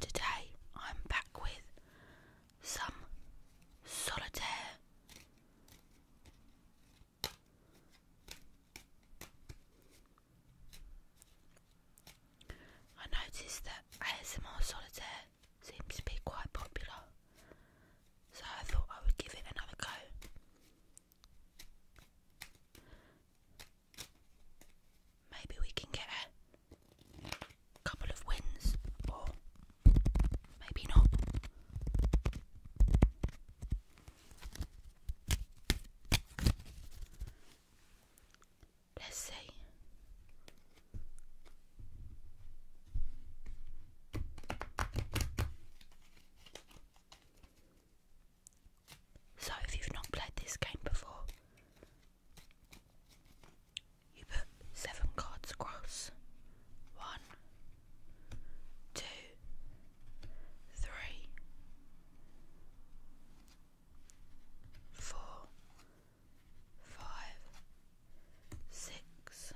Today I'm back with some solitaire. I noticed that ASMR solitaire seems to be quite popular, so I thought I would give it another go. Maybe we can get a couple of wins, or maybe not. Let's see. So if you've not played this game before, you put seven cards across. One, two, three, four, five, six,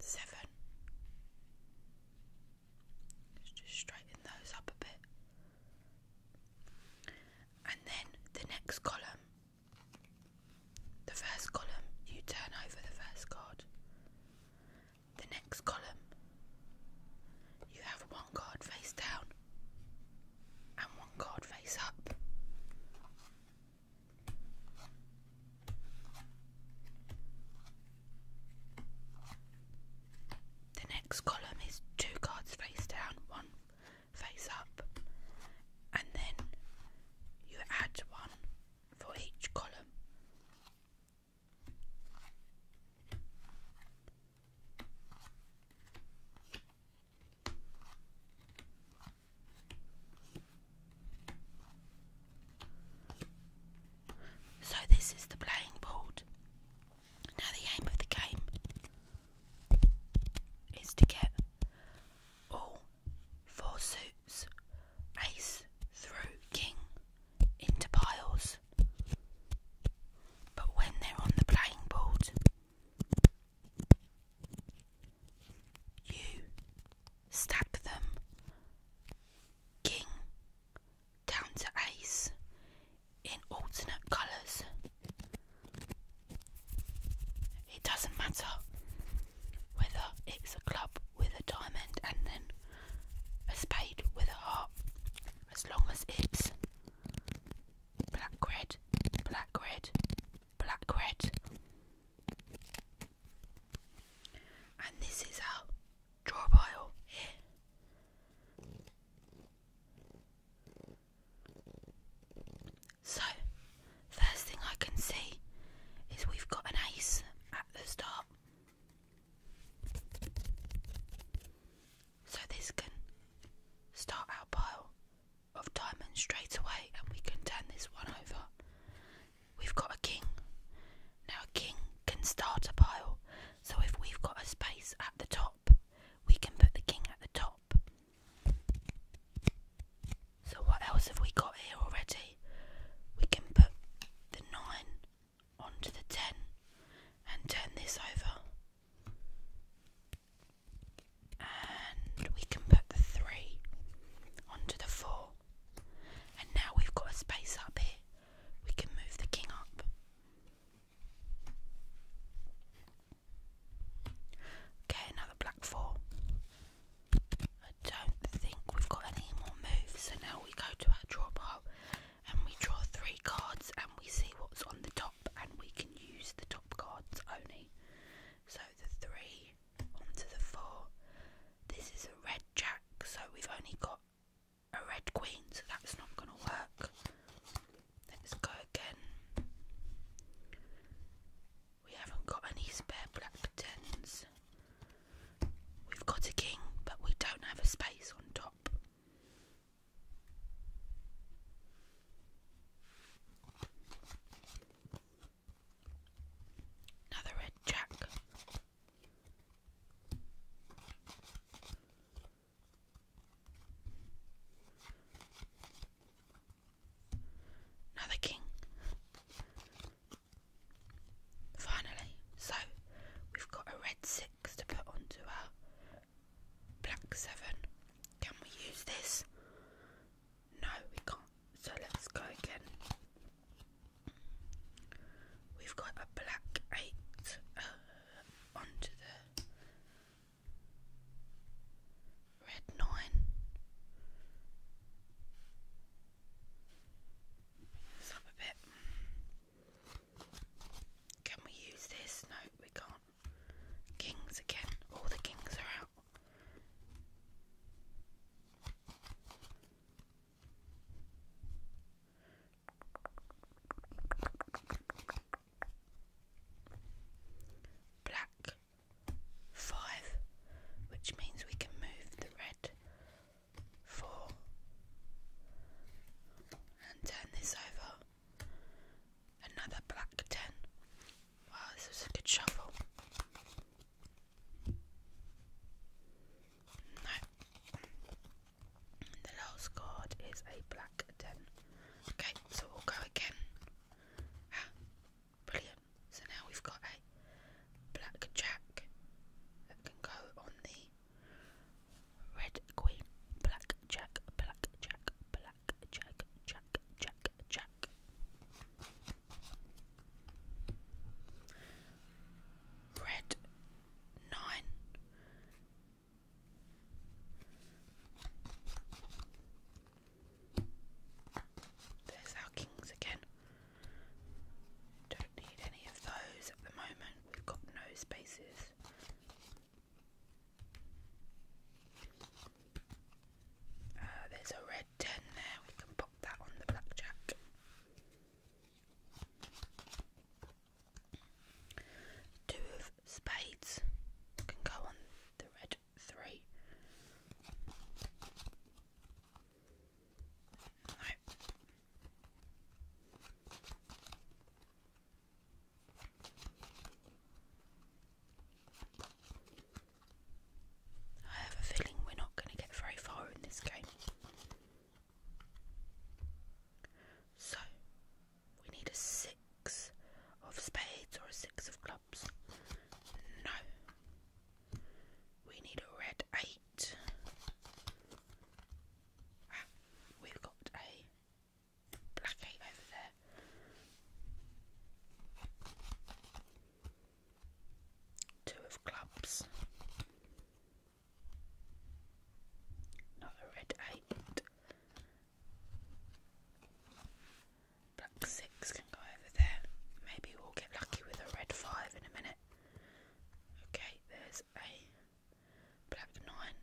Seven. Let's just straighten those up a bit. And then the next column, the first column, you turn over the first card. The next column, you have one card face down card face up. The next column is two cards face down, one face up, and then you add one for each column. So, this is the playing board. Now, the aim of the game is to get all four suits, ace through king, into piles. But when they're on the playing board, you stab them. King down to ace in alternate colours. It doesn't matter whether it's a club with a diamond and then a spade with a heart, as long as it's black red, black red, black red. And this is our draw pile here. So, first thing I can see is we've got an ace at the start. So, this can start our pile of diamonds straight away and we can turn this one over. We've got a king. Now, a king can start a pile, so if we've got a space at the top, we can put the king at the top. So, what else have we got here already? We can put the 9 onto the 10 and turn this over. And we can put the three onto the four. And now we've got a space up here, we can move the king up. Okay, another black four. I don't think we've got any more moves, so now we go to our draw pile and we draw three cards and we see what's on the top and we can use the top cards only. So the three onto the four. This is a red jack, so we've only got a red queen, so that's not going to work. Let's go again. We haven't got any spare black tens. We've got a king, but we don't have a space on top. Another red jack. Another king. Finally, so we've got a red six to put onto our black seven. Can we use this? No, we can't. So let's go again. We've got a black eight uh, onto the red nine. up a bit. Can we use this? No, we can't. Kings again. All the kings are out. Black five, which means we can move the red four and turn this over Another black ten. Wow, this is a good shuffle. The last card is a black ten. Okay, so we'll go again. Ah, brilliant. So now we've got a black jack that can go on the red queen. Black jack, black jack, black check, check, check, check, check. Red nine. There's our kings again. Don't need any of those at the moment. We've got no spaces. Uh, there's a red 10 there, we can put that on the blackjack. Two of spades can go on the red 3. I have a feeling we're not going to get very far in this game. So, we need a six of spades or a six of clubs. No. We need a red eight. Ah, we've got a black ape over there. Two of clubs. Another red eight. Black six can go over there. Maybe we'll get lucky with a red five in a minute. Okay, there's a perhaps nine.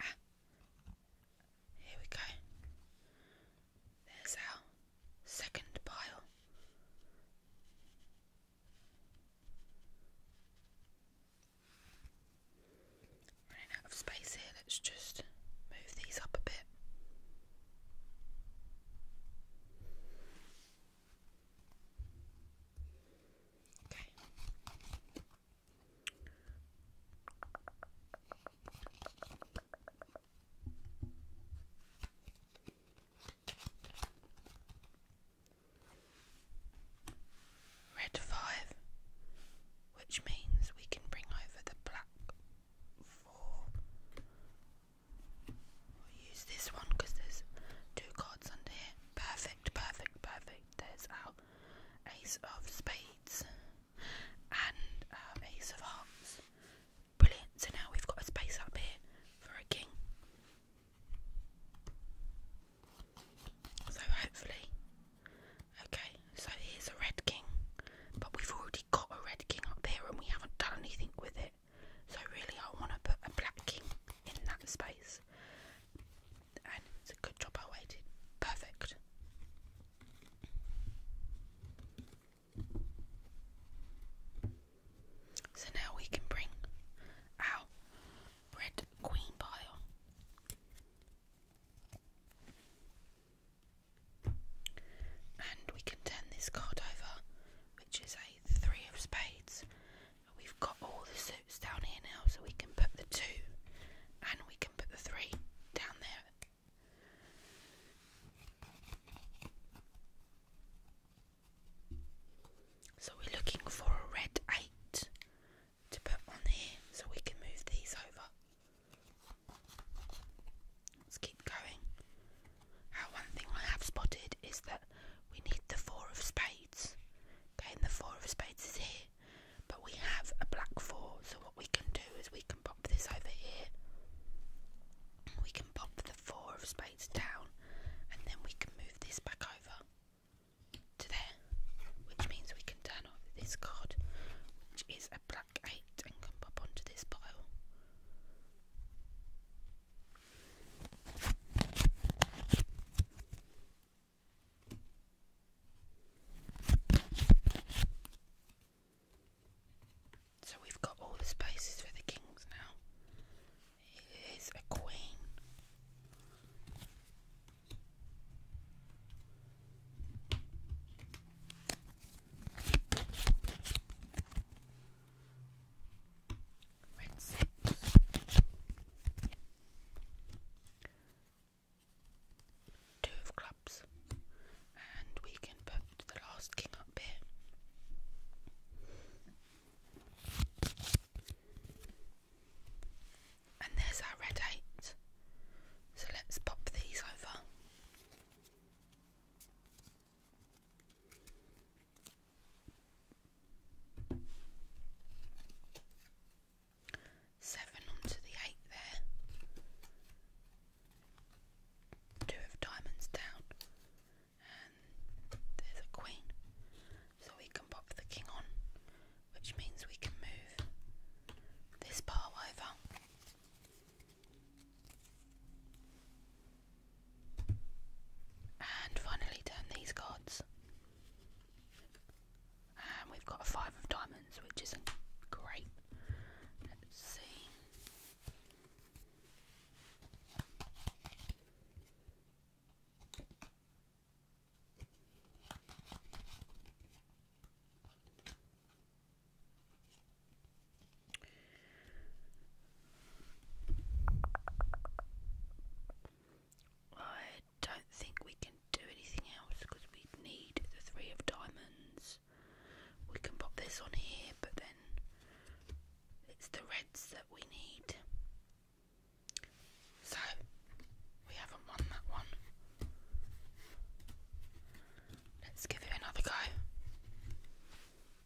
Ah. here we go. There's our second pile. Running out of space here, let's just move these up a bit. Okay. Red five, which means we can bring over the black four we use this one because there's two cards under here. Perfect, perfect, perfect. There's our Ace of Spades and our um, Ace of Hearts. Brilliant. So now we've got a space up here for a king. So hopefully, okay, so here's a red king, but we've already got a red king up here and we haven't done anything with it. So really I want to put a black king in that space. And it's a good job I waited. Perfect. So now we can bring our red queen pile and we can turn this card over, which is a three of spades. We've got all the suits down here now, so we can put the two and we can put the three down there. So we're looking for a red eight to put on here so we can move these over. Let's keep going. one thing I have spotted is that we need the four of spades. Okay, and the four of spades is here, but we have a black four. So what we can do is we can pop this over here. We can pop the four of spades down, and then we can move this back over to there, which means we can turn off this card, which is a black eight, and come pop onto this pile. So we've got all the spaces for the kings now. It is a queen. Let's Two of clubs, and we can put the last king up here. And there's our red eight. So let's pop these over. Seven onto the eight there. Two of diamonds down, and there's a queen. So we can pop the king on, which means we can move this bar over. And finally turn these cards. And we've got a five of diamonds, which isn't great. Let's see. I don't think we can do anything else because we need the three of diamonds. We can pop this on here, but then it's the reds that we need. So we haven't won that one. Let's give it another go.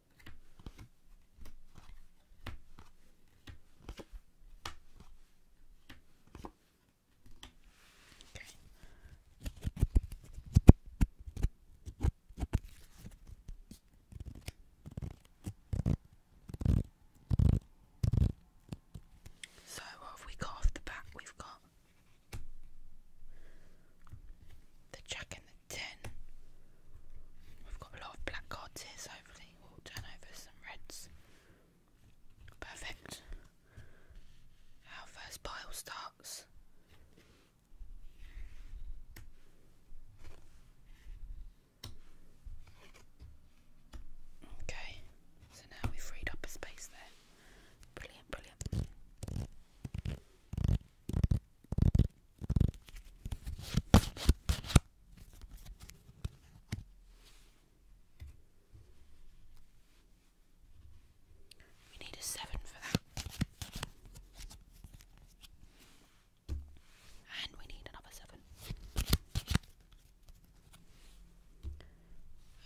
Okay. So what have we got off the back? We've got the Jack ten. We've got a lot of black cards here, hopefully we'll turn over some reds. Perfect. Our first pile starts. Okay, so now we've freed up a space there. Brilliant, brilliant. We need a seven for that. And we need another seven.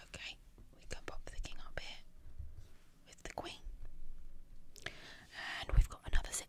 Okay, we can pop the king up here with the queen. And we've got another 6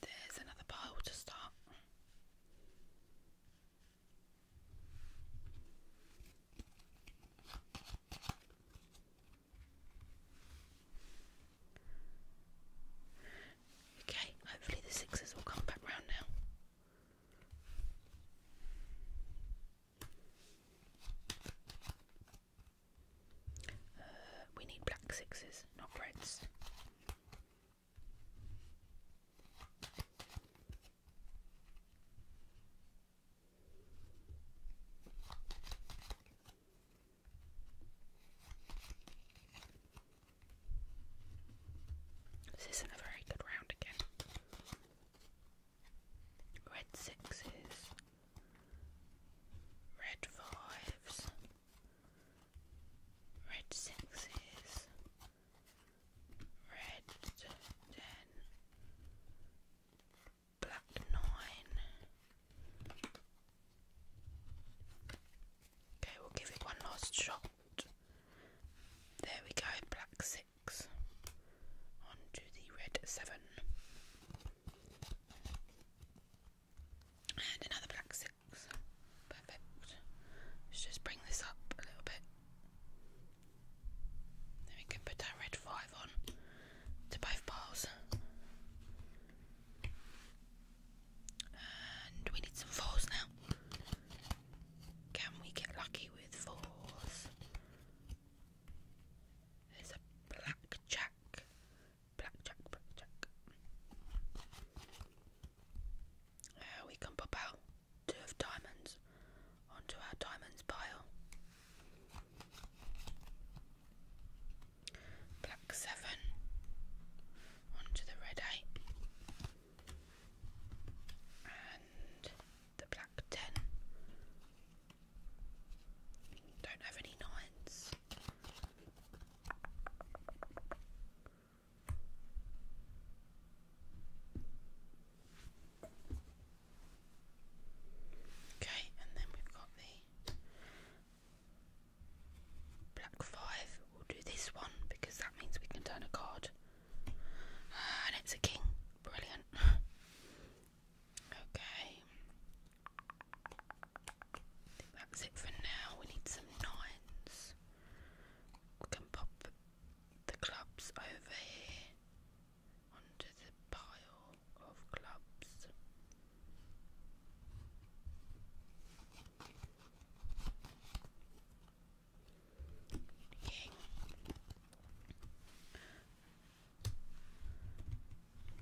There's another pile to start. Okay, hopefully the sixes will come back round now. Uh, we need black sixes, not reds. This isn't a very good round again. Red sixes Red fives, red sixes, red ten, black nine. Okay, we'll give it one last shot. There we go, black six. On to the red seven and another black six. Let's just bring this up a little bit. Then we can put that red five on to both piles. And we need some fours now. Can we get lucky with fours? There's a black jack. Uh, we can pop out two of diamonds onto our diamonds pile. Black seven onto the red eight. And the black ten. Don't have any nines. Okay, and then we've got the black five. We'll do this one because that means we can turn a card. Uh, and it's a king. Brilliant. Okay. think that's it for now. We need some nines. can pop the clubs over here onto the pile of clubs.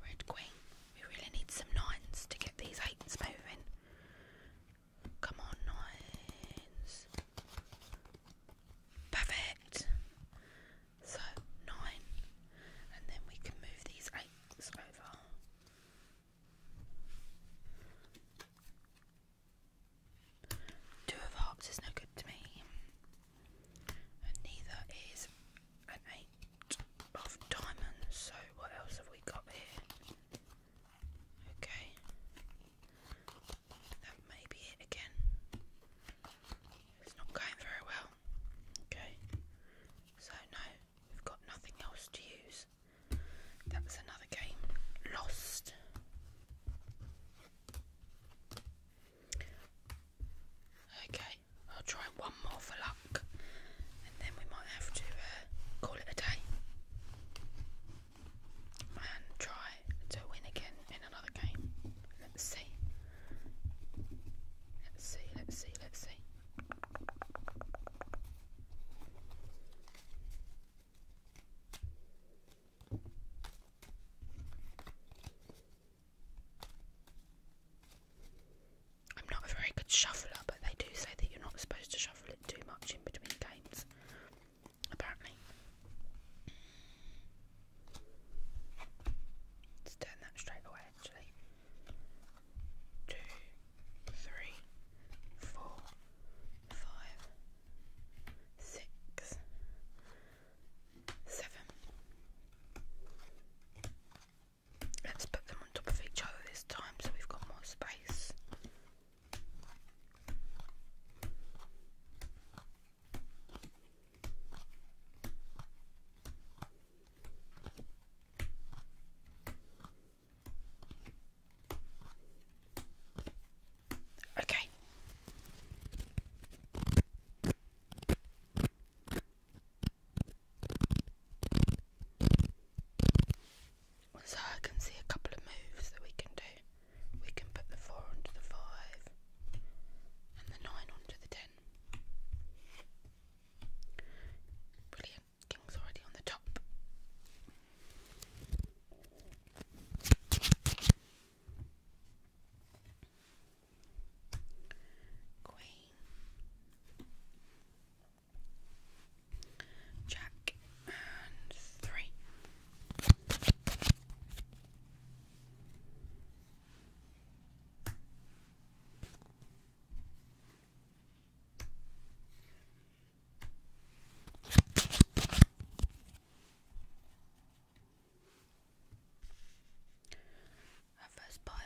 Red Queen, we really need some nines to get these eights moving. Come on, nines. Perfect. So, nine. And then we can move these eights over. Two of hearts is no good to me. And neither is an eight of diamonds. So what else have we got here? Okay, that may be it again. It's not going very well. Okay, so no, we've got nothing else to use. That was another game lost. Okay, I'll try one more for luck, and then we might have to uh, call it a day and try to win again in another game. Let's see. Let's see, let's see, let's see. I'm not a very good shuffler, but they do say that you're not supposed to shuffle it too much in between games, apparently. Let's turn that straight away actually. Two, three, four, five, six, seven, Let's put them on top of each other this time so we've got more space. Okay. So I can see a couple of moves that we can do. We can put the 4 onto the 5 and the 9 onto the 10. Brilliant. King's already on the top. Queen, Jack, and three. Our first pile.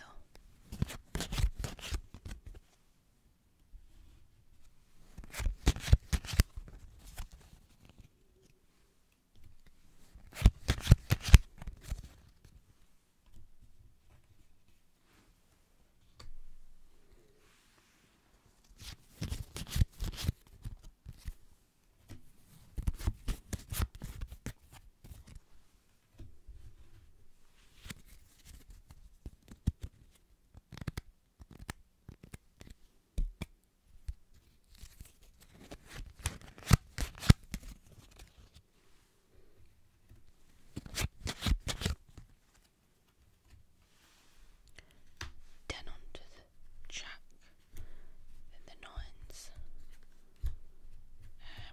Then onto the jack, then the nines, um,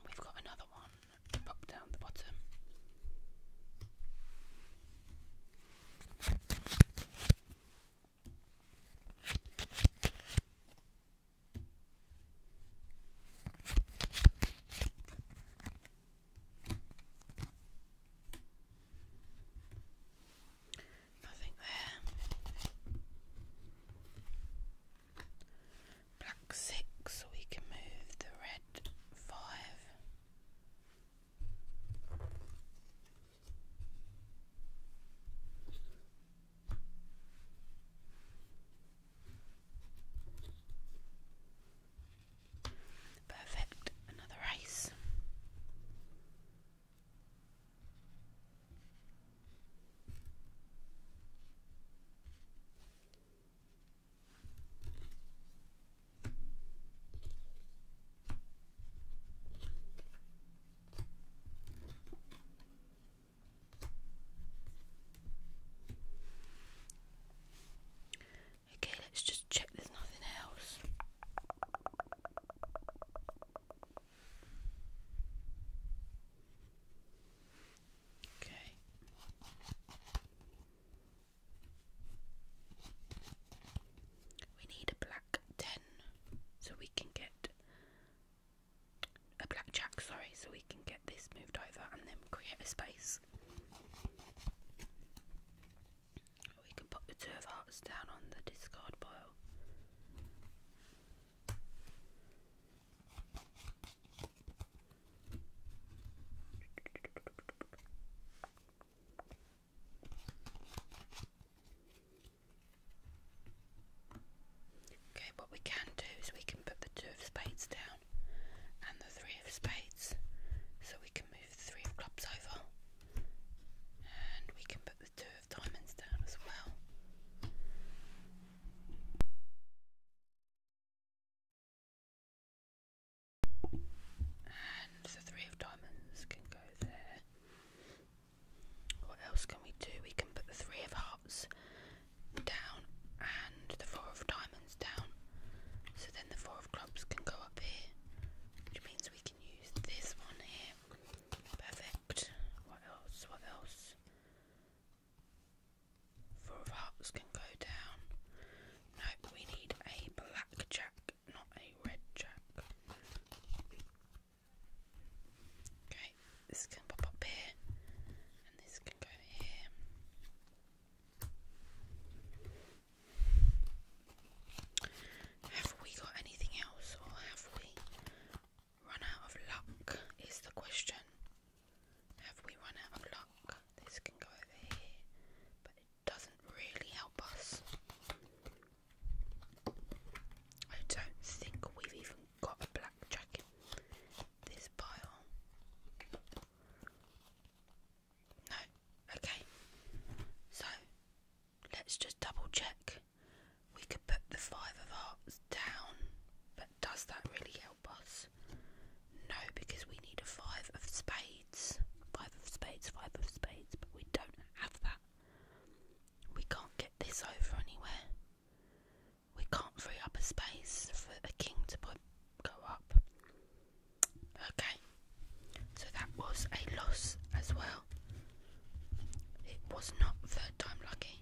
we've got another one up down the bottom. Nothing there black six, so we can move the red five. Perfect, another ace. Okay, let's just check there's nothing else. Okay. We need a black 10 so we can get a blackjack, sorry, so we can get this moved over and then create a space. We can put the two of hearts down on the discard pile. Okay, what we can do is we can put the two of spades down and the three of spades, so we can move the three of clubs over, and we can put the two diamonds down as well. the three of diamonds can go there. What else can we do? We can put the three of hearts down and the four of diamonds down. So then the four of clubs can go up here, which means we can use this one here. Perfect. What else? What else? Four of hearts can go down. Nope, we need a black jack, not a red jack. Okay, this can pop up here, and this can go here. Have we got anything else, or have we Run out of luck is the question. Have we run out of luck? This can go over here, but it doesn't really help us. I don't think we've even got a black jacket. This pile. No, okay. So let's just double check we could put the five of hearts down, but does that really help us? No, because we need a five of spades. Five of spades, five of spades, but we don't have that. We can't get this over anywhere. We can't free up a space for a king to put, go up. Okay, so that was a loss as well. It was not third time lucky.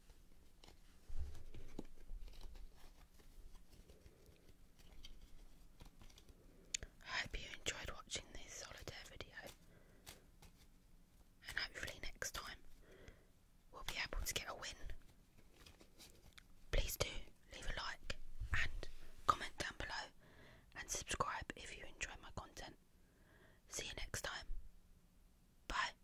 I hope you enjoyed watching this solitaire video, and hopefully, next time we'll be able to get a win. Please do leave a like and comment down below, and subscribe if you enjoy my content. See you next time. Bye.